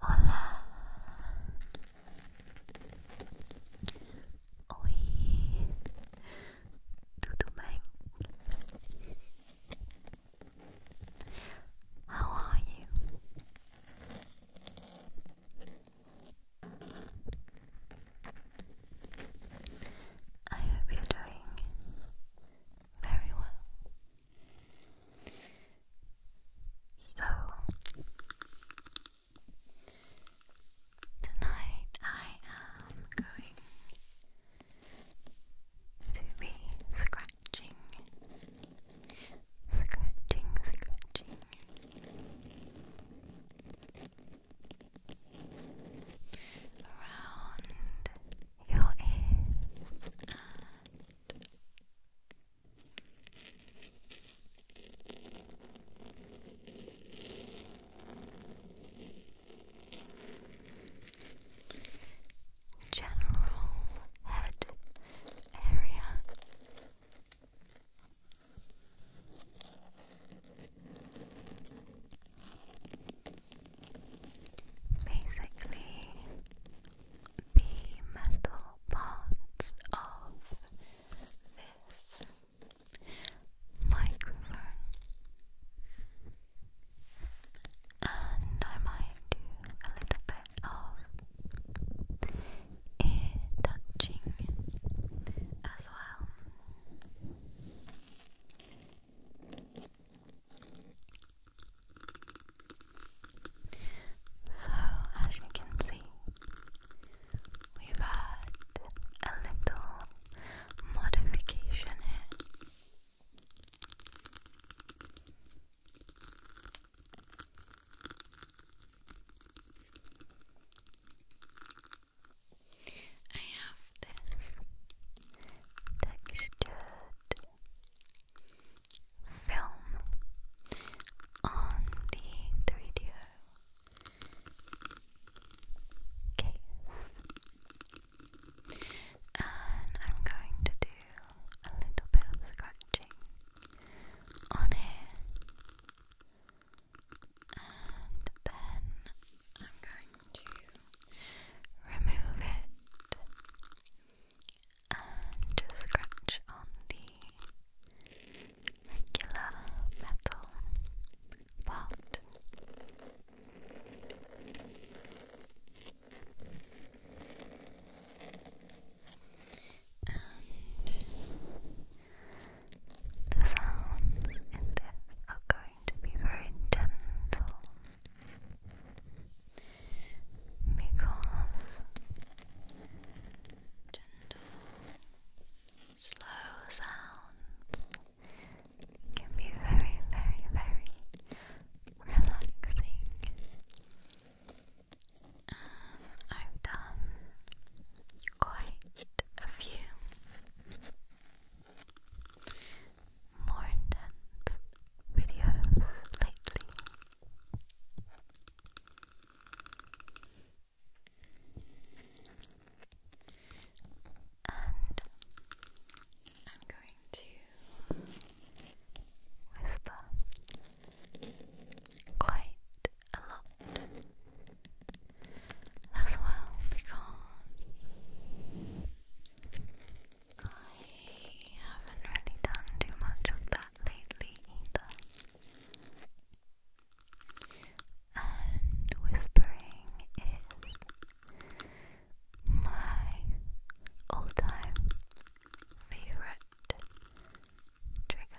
Hola. Oi. Tudo bem? How are you? I hope you're doing very well. So, tonight I am going to be scratching, scratching, scratching. Around your ears and general head area basically the metal parts of this microphone and I might do a little bit of ear touching as well. So, as you can see, we've had a little modification here. I have this textured film on the 3DO case. And I'm going to do a little bit of scratching on here. And then I'm going to remove it and just scratch on the regular metal part. And the sounds in this are going to be very gentle because gentle, slow sounds can be very, very, very relaxing. And um, I've done quite a few more intense videos lately. And I'm going to whisper quite a lot as well because I haven't really done too much of that lately either. And whispering is my all time favorite trigger.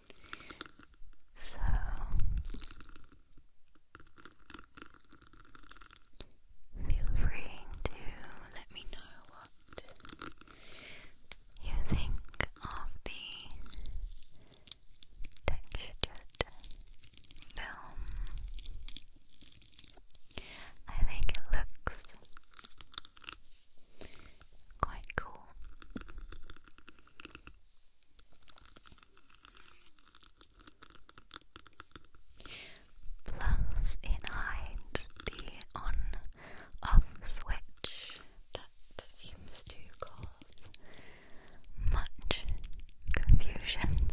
So feel free to let me know what you think of the textured film. I think it looks Quite cool. Plus, it hides the on off switch that seems to cause much confusion.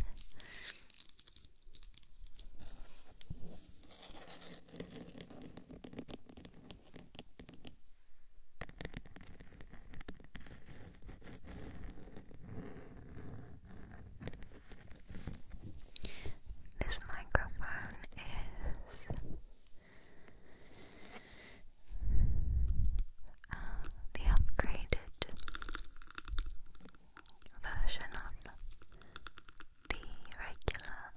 This microphone is uh, the upgraded version of the regular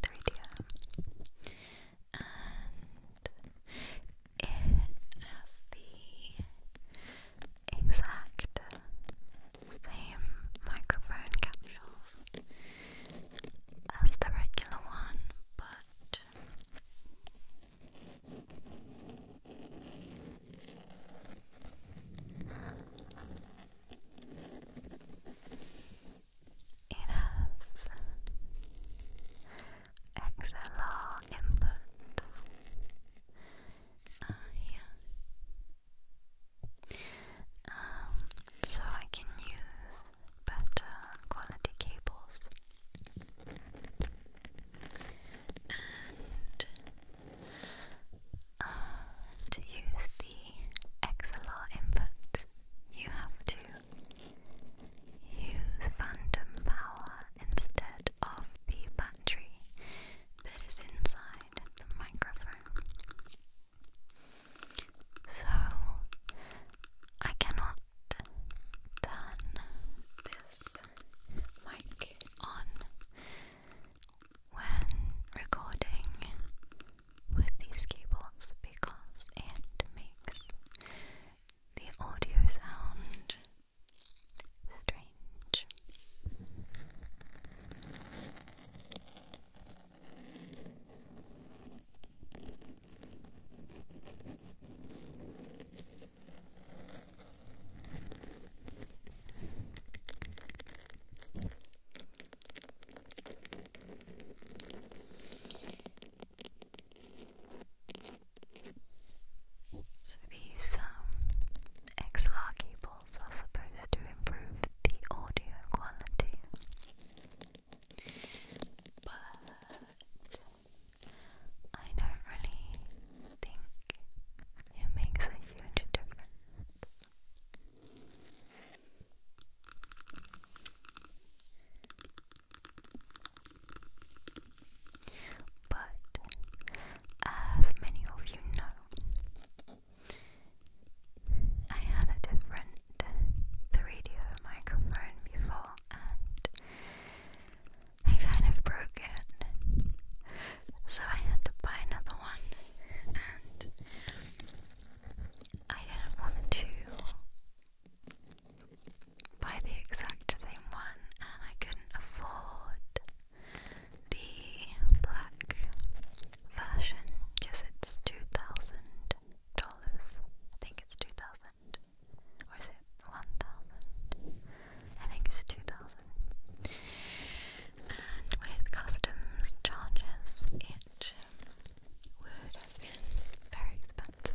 3DM and it has the exact same microphone capsules as the regular one, but it has XLR input uh, um, so I can use better quality cables. Uh, to use the XLR input, you have to Use phantom power instead of the battery that is inside the microphone. So I cannot turn this mic on when recording with these keyboards because it makes the audio sound strange. So these um, XLR cables are supposed to improve the audio quality, but I don't really think it makes a huge difference. But as many of you know, I had a different 3 microphone before and I kind of broke it. So I had to buy another one and I didn't want to buy the exact same one, and I couldn't afford the black version because it's two thousand dollars. I think it's two thousand, or is it one thousand? I think it's two thousand. And with customs charges, it would have been very expensive.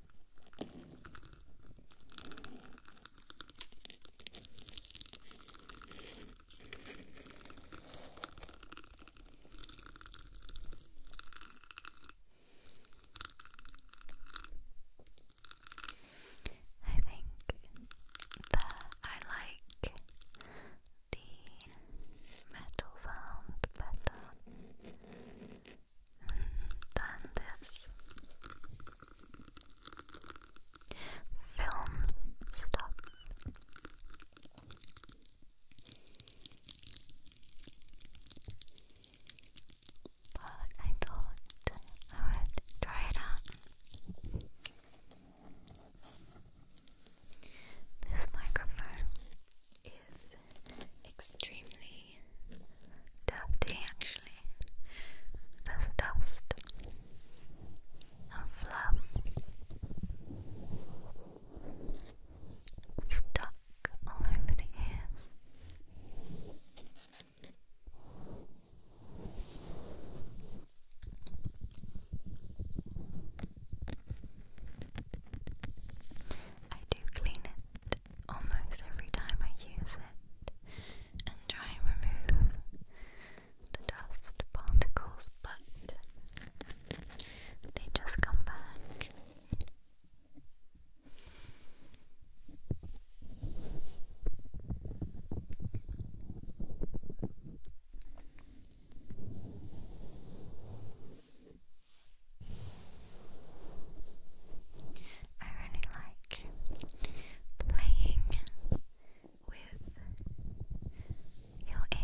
I think that I like the metal sound better done this film stop. But I thought I would try it out. This microphone is extremely dirty actually. There's dust and fluff stuck all over the ears. I do clean it almost every time I use it and try and remove the dust particles, but they just come back. I really like playing with your ears.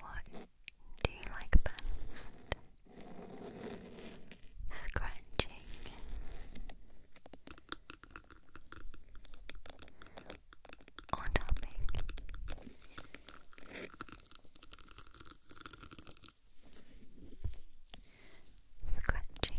What do you like best? Scratching, or tapping? Scratching.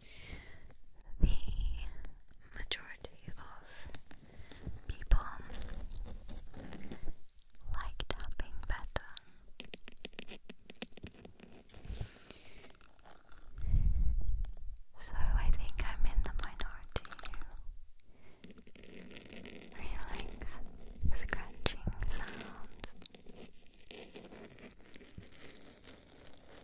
the majority of people like tapping better. So I think I'm in the minority who scratching sounds.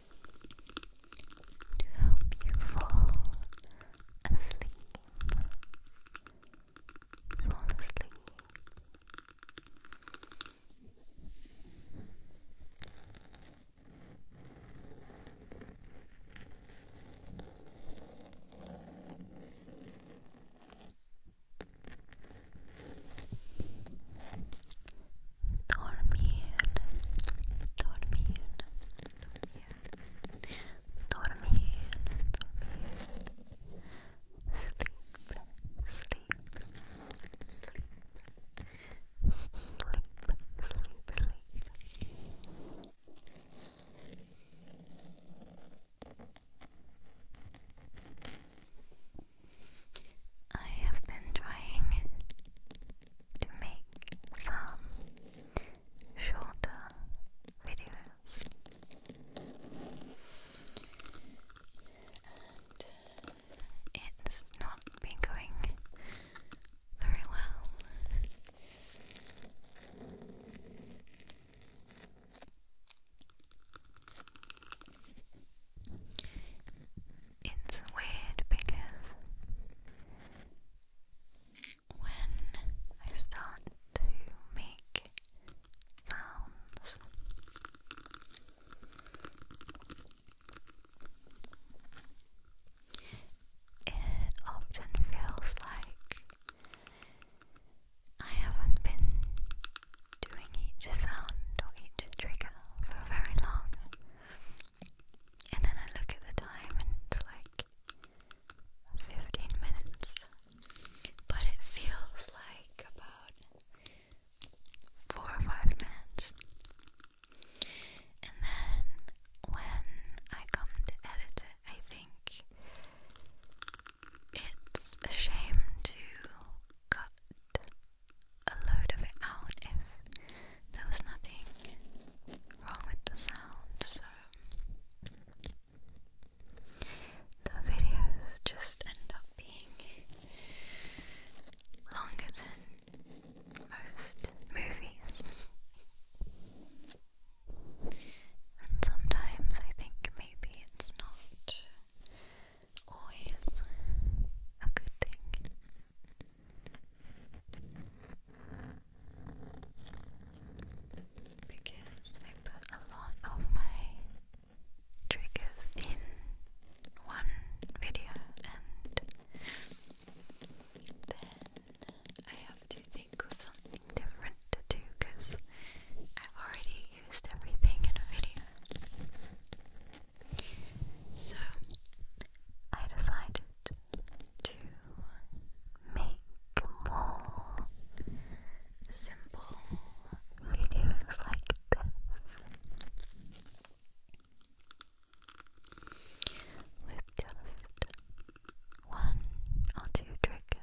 to help you fall asleep. Fall asleep. Dormir, dormir, sleep, sleep, sleep, sleep, sleep, sleep. I have been trying to make some shorter videos. And it's not been going very well. It's weird because when I start to make sounds. It often feels like I haven't been doing each sound or each trigger for very long, and then I look at the time and it's like 15 minutes. But it feels like about 4 or 5 minutes. And then when I come to edit it, I think it's a shame to cut a load of it out if there was nothing wrong with the sound, so the videos just end up being longer than most movies. And sometimes I think maybe it's not always a good thing because I put a lot of my triggers in one video and then I have to think of something different to do because i already used everything in a video. So I decided to make more simple videos like this with just one or two triggers.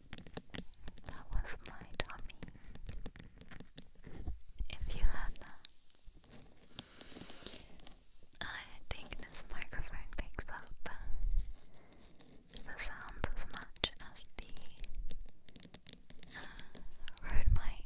That was my tummy. If you had that. I don't think this microphone picks up the sound as much as the uh, mic.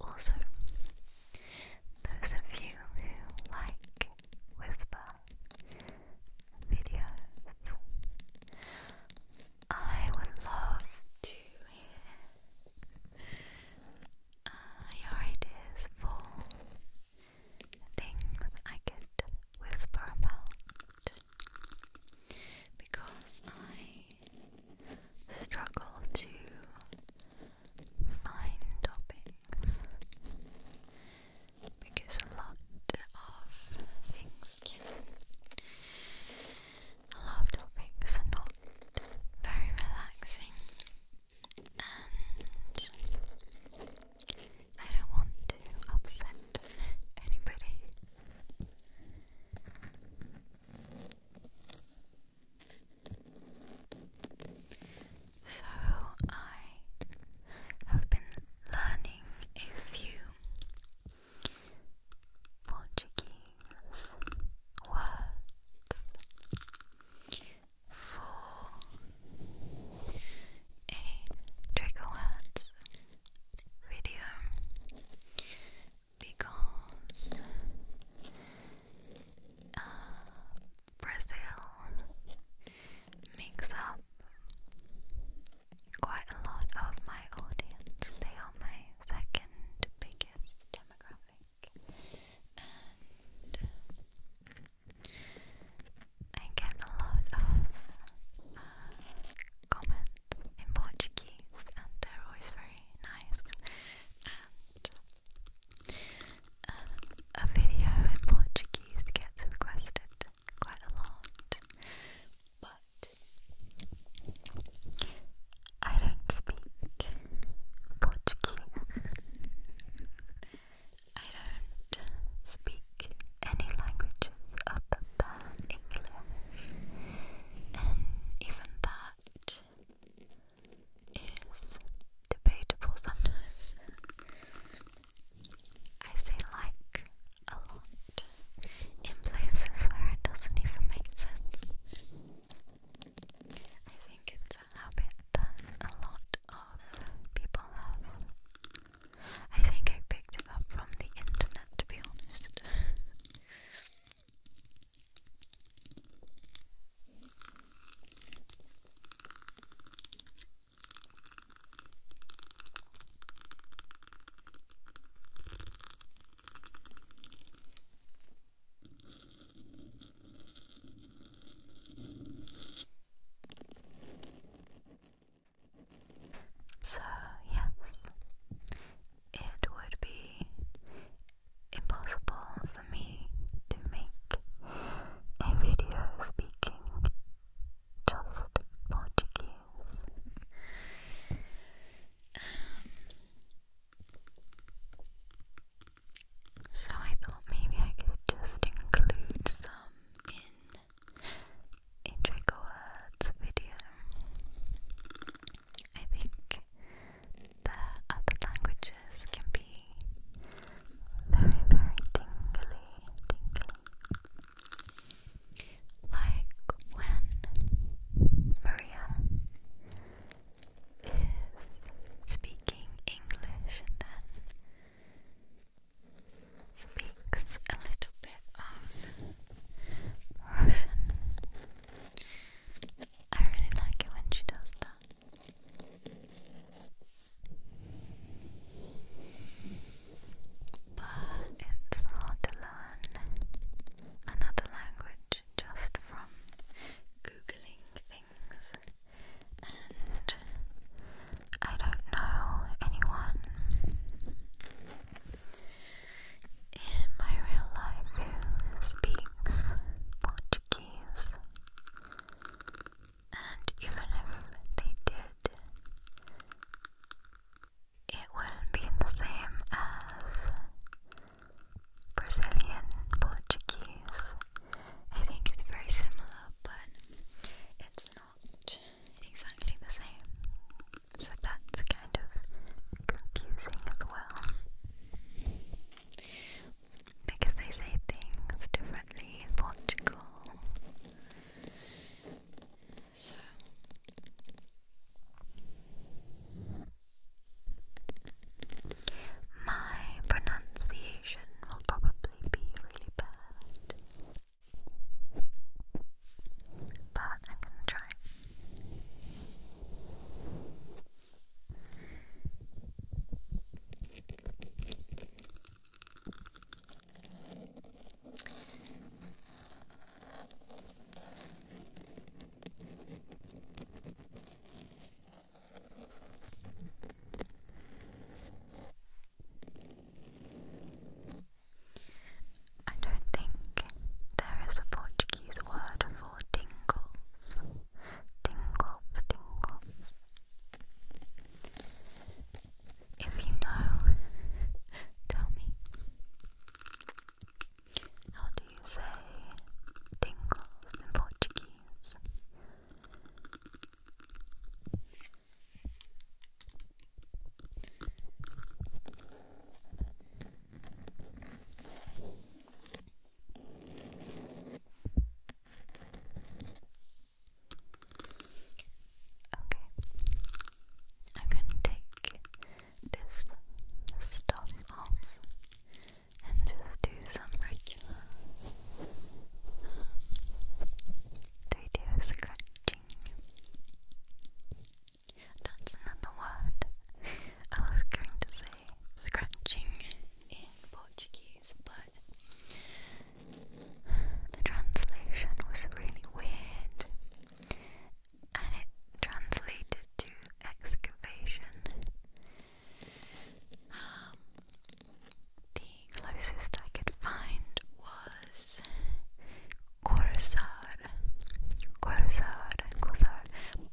Also, those of you who like whisper videos, I would love to hear uh, your ideas for things I could whisper about because I struggle to find toppings because a lot of things a lot of topics are not very relaxing and I don't want to upset anybody. So I have been learning a few Portuguese words for a trigger video because uh, Brazil makes up quite a lot of my audience. They are my second biggest demographic, and I get a lot of uh, comments in Portuguese, and they're always very nice. Um, a video in Portuguese gets requested quite a lot, but I don't speak Portuguese. I don't speak any languages other than English, and even that is debatable sometimes. I say like a lot in places where it doesn't even make sense. I think it's a habit that a lot of people have. I think I picked it up from the internet to be honest. So, yes, it would be impossible for me to make a video speaking just Portuguese. Um, so I thought maybe I could just include some in a Draco Words video. I think the other languages can be very, very tingly, tingly. Like when Maria is speaking English and then speaks a little bit of Russian I really like it when she does that. But it's hard to learn another language just from googling things, and I don't know anyone in my real life who speaks Portuguese, and even if they did, it wouldn't be the same as Brazilian Portuguese. I think it's very similar, but it's not exactly the same. So that's kind of confusing as well because they say things differently in Portugal. So my pronunciation will probably be really bad. But I'm gonna try. I don't think there is a Portuguese word for tingles tingles, tingles. If you know, tell me. How do you say tingles in Portuguese? Okay, I'm going to take this stuff off and just do some regular um, three D That's another word. I was going to say scratching in Portuguese, but the translation was really weird and it translated to excavation. Um, the closest I could find was corsar, corsar, corsar,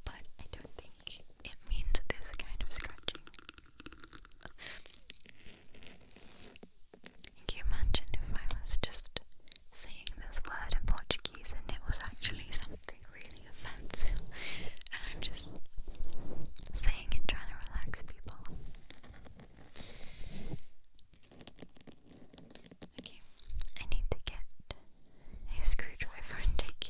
but I don't think think it means this kind of scratching. Can you imagine if I was just saying this word in Portuguese and it was actually something really offensive and I'm just saying it trying to relax people? Okay, I need to get a screwdriver and take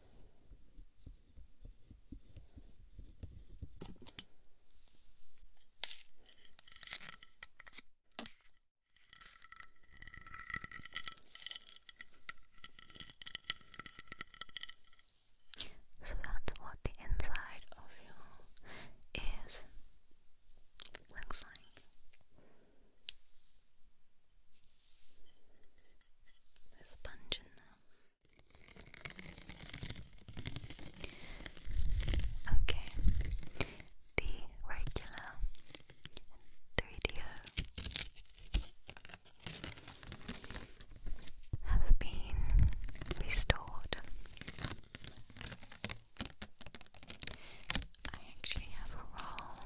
So that's what the inside of you is looks like. There's a sponge in there. Okay, the regular 3DO has been restored. I actually have a roll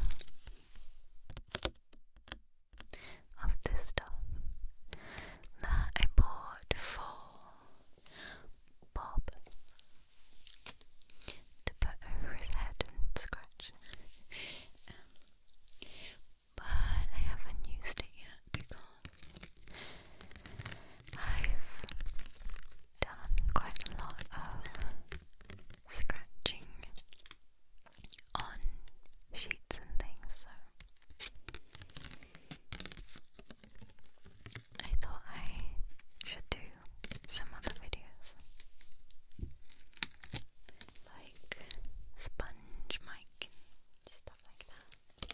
of this stuff that I bought for Bob to put over his head and scratch. Um, but I haven't used it yet because I've done quite a lot of scratching on sheets and things, so I thought I should do some other videos like sponge mic and stuff like that.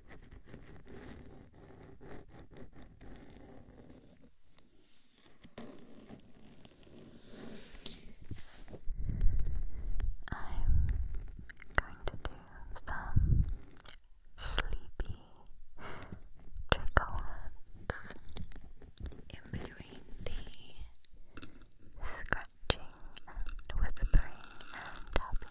I'm going to do some sleepy trickle in between the scratching and whispering and tapping.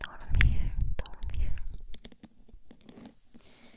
Dormir, dormir. sleep. Sleep,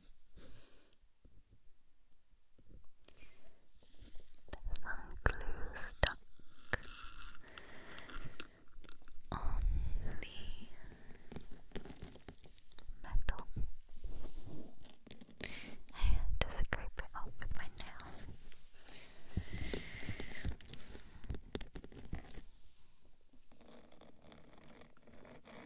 some glue stuck on the metal. I had scrape it off with my nails.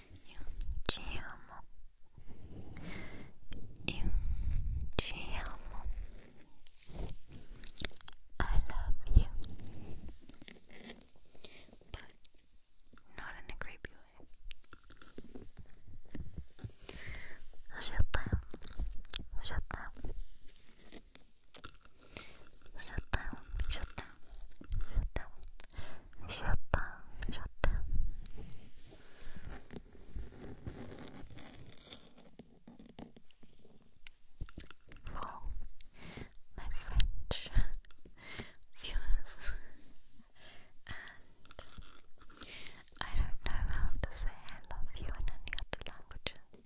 Io ti amo. Io ti amo. I love you. But not in a creepy way. Je t'aime. Je t'aime. Je t'aime. Je t'aime. Je t'aime shut down, shut down. For my French viewers, and I don't know how to say I love you in any other languages.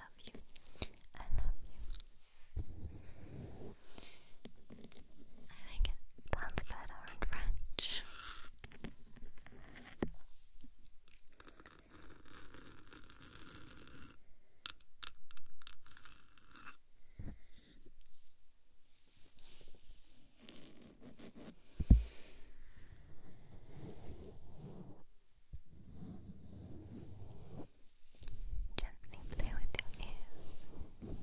love you. I love you. I think it sounds better in French. Gently play with your ears. Some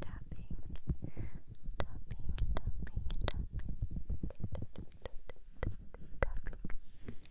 tapping, tapping, tapping, tapping, tapping, tapping.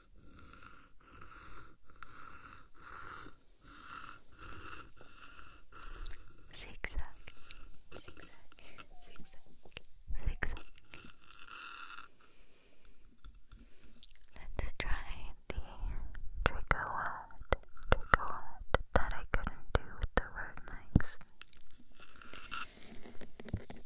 Zigzag, zigzag, zigzag, zigzag. Let's try the trigger word, that I couldn't do with the word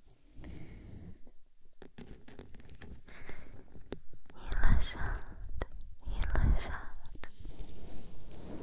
Relaxado, relaxado. Gently blow in your ears.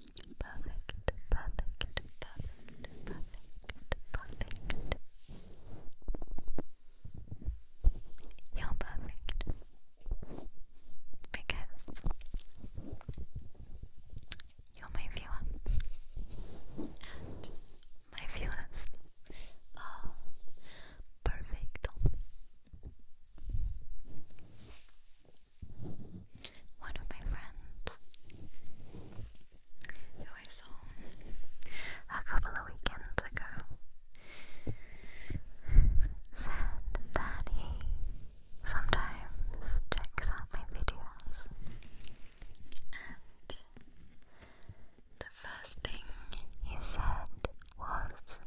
perfect, perfect, perfect, perfect, perfect. You're perfect because you're my viewer, and my viewers are perfect. One of my friends who I saw a couple of weekends ago, said that he sometimes checks out my videos. And the first thing he said was,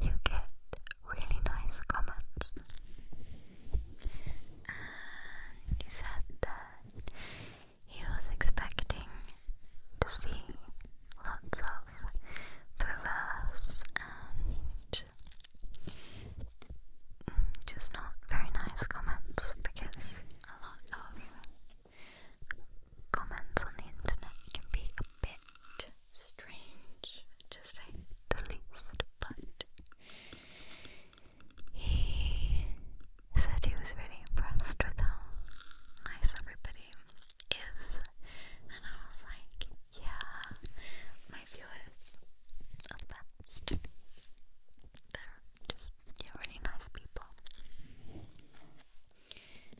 You get really nice comments he said that he was expecting to see lots of perverse and just not very nice comments because a lot of comments on the internet can be a bit strange to say the least, but he said he was really impressed with how nice everybody is, and I was like, yeah, my viewers are the best. They're just, really nice people.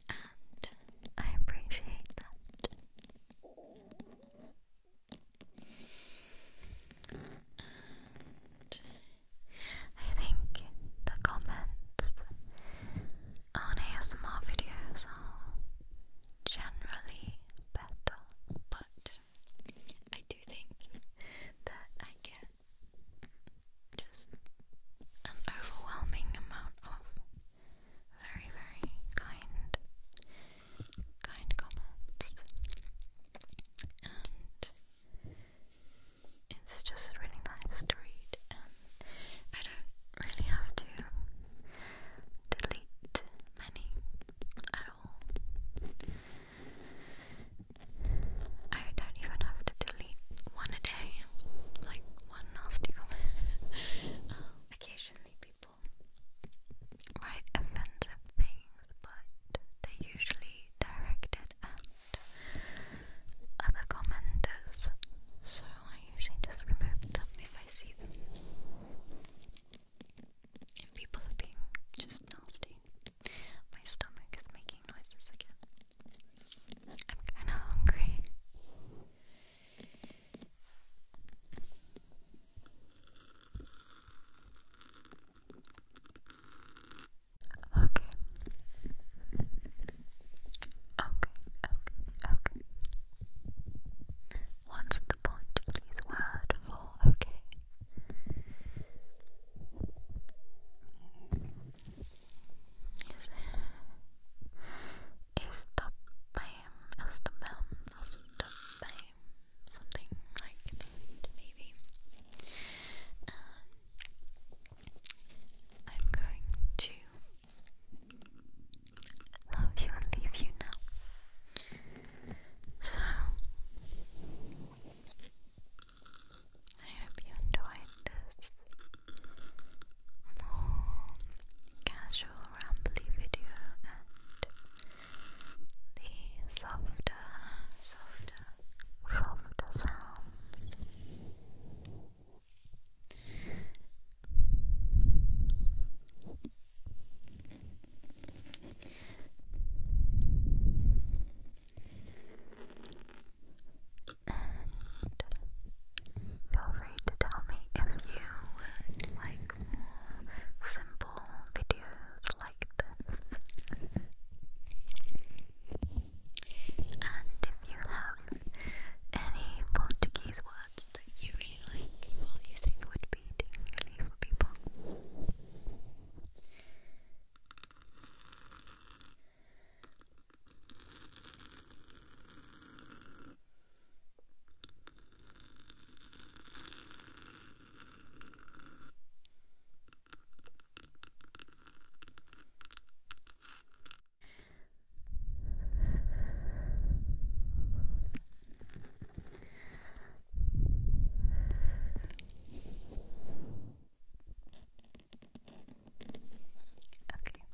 And I appreciate that. And I think the comments on ASMR videos are generally better, but I do think that I get just an overwhelming amount of very, very kind kind comments, and it's just really nice to read. And I don't really have to delete many at all. I don't even have to delete one a day, like one nasty comment. Um, occasionally, people people write offensive things, but they're usually directed at other commenters, so I usually just remove them if I see them. If people are being just nasty, my stomach is making noises again. I'm kinda hungry. Okay. Okay. Okay. Okay. What's the point of these words for? Okay. Is is the fame? Is the film? Is the fame? something like maybe. Um, I'm going to love you and leave you now. So, I hope you enjoyed this more casual rambly video and the softer, softer, softer sounds. And feel free to tell me if you would like more simple videos like And if you have any Portuguese words that you really like or you think would be doing for people, Okay,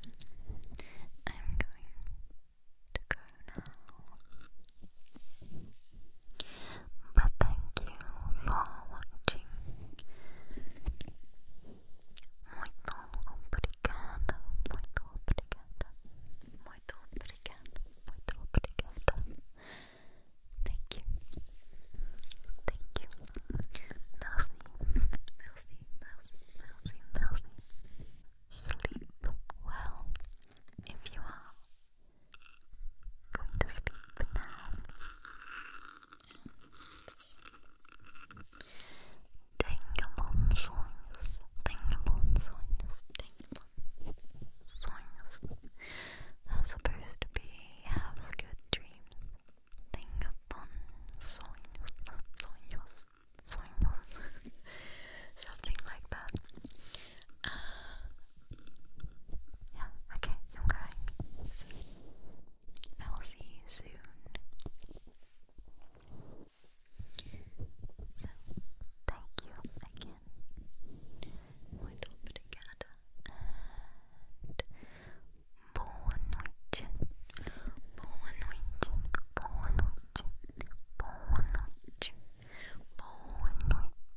I'm going to go but thank you for watching. Muito obrigada, muito obrigada, muito obrigada, muito obrigada. Thank you, thank you. Nelson, Nelson, Nelson, Nelson, Nelson. Sleep well if you are Going to sleep now. Dengamon songs. Dengamon songs. Dengamon songs. That's supposed to be have good dreams. Dengamon songs. Not songs. Songs. Something like that. Yeah, okay, i I will see you soon. So thank you again muy obrigada and boa noite boa noite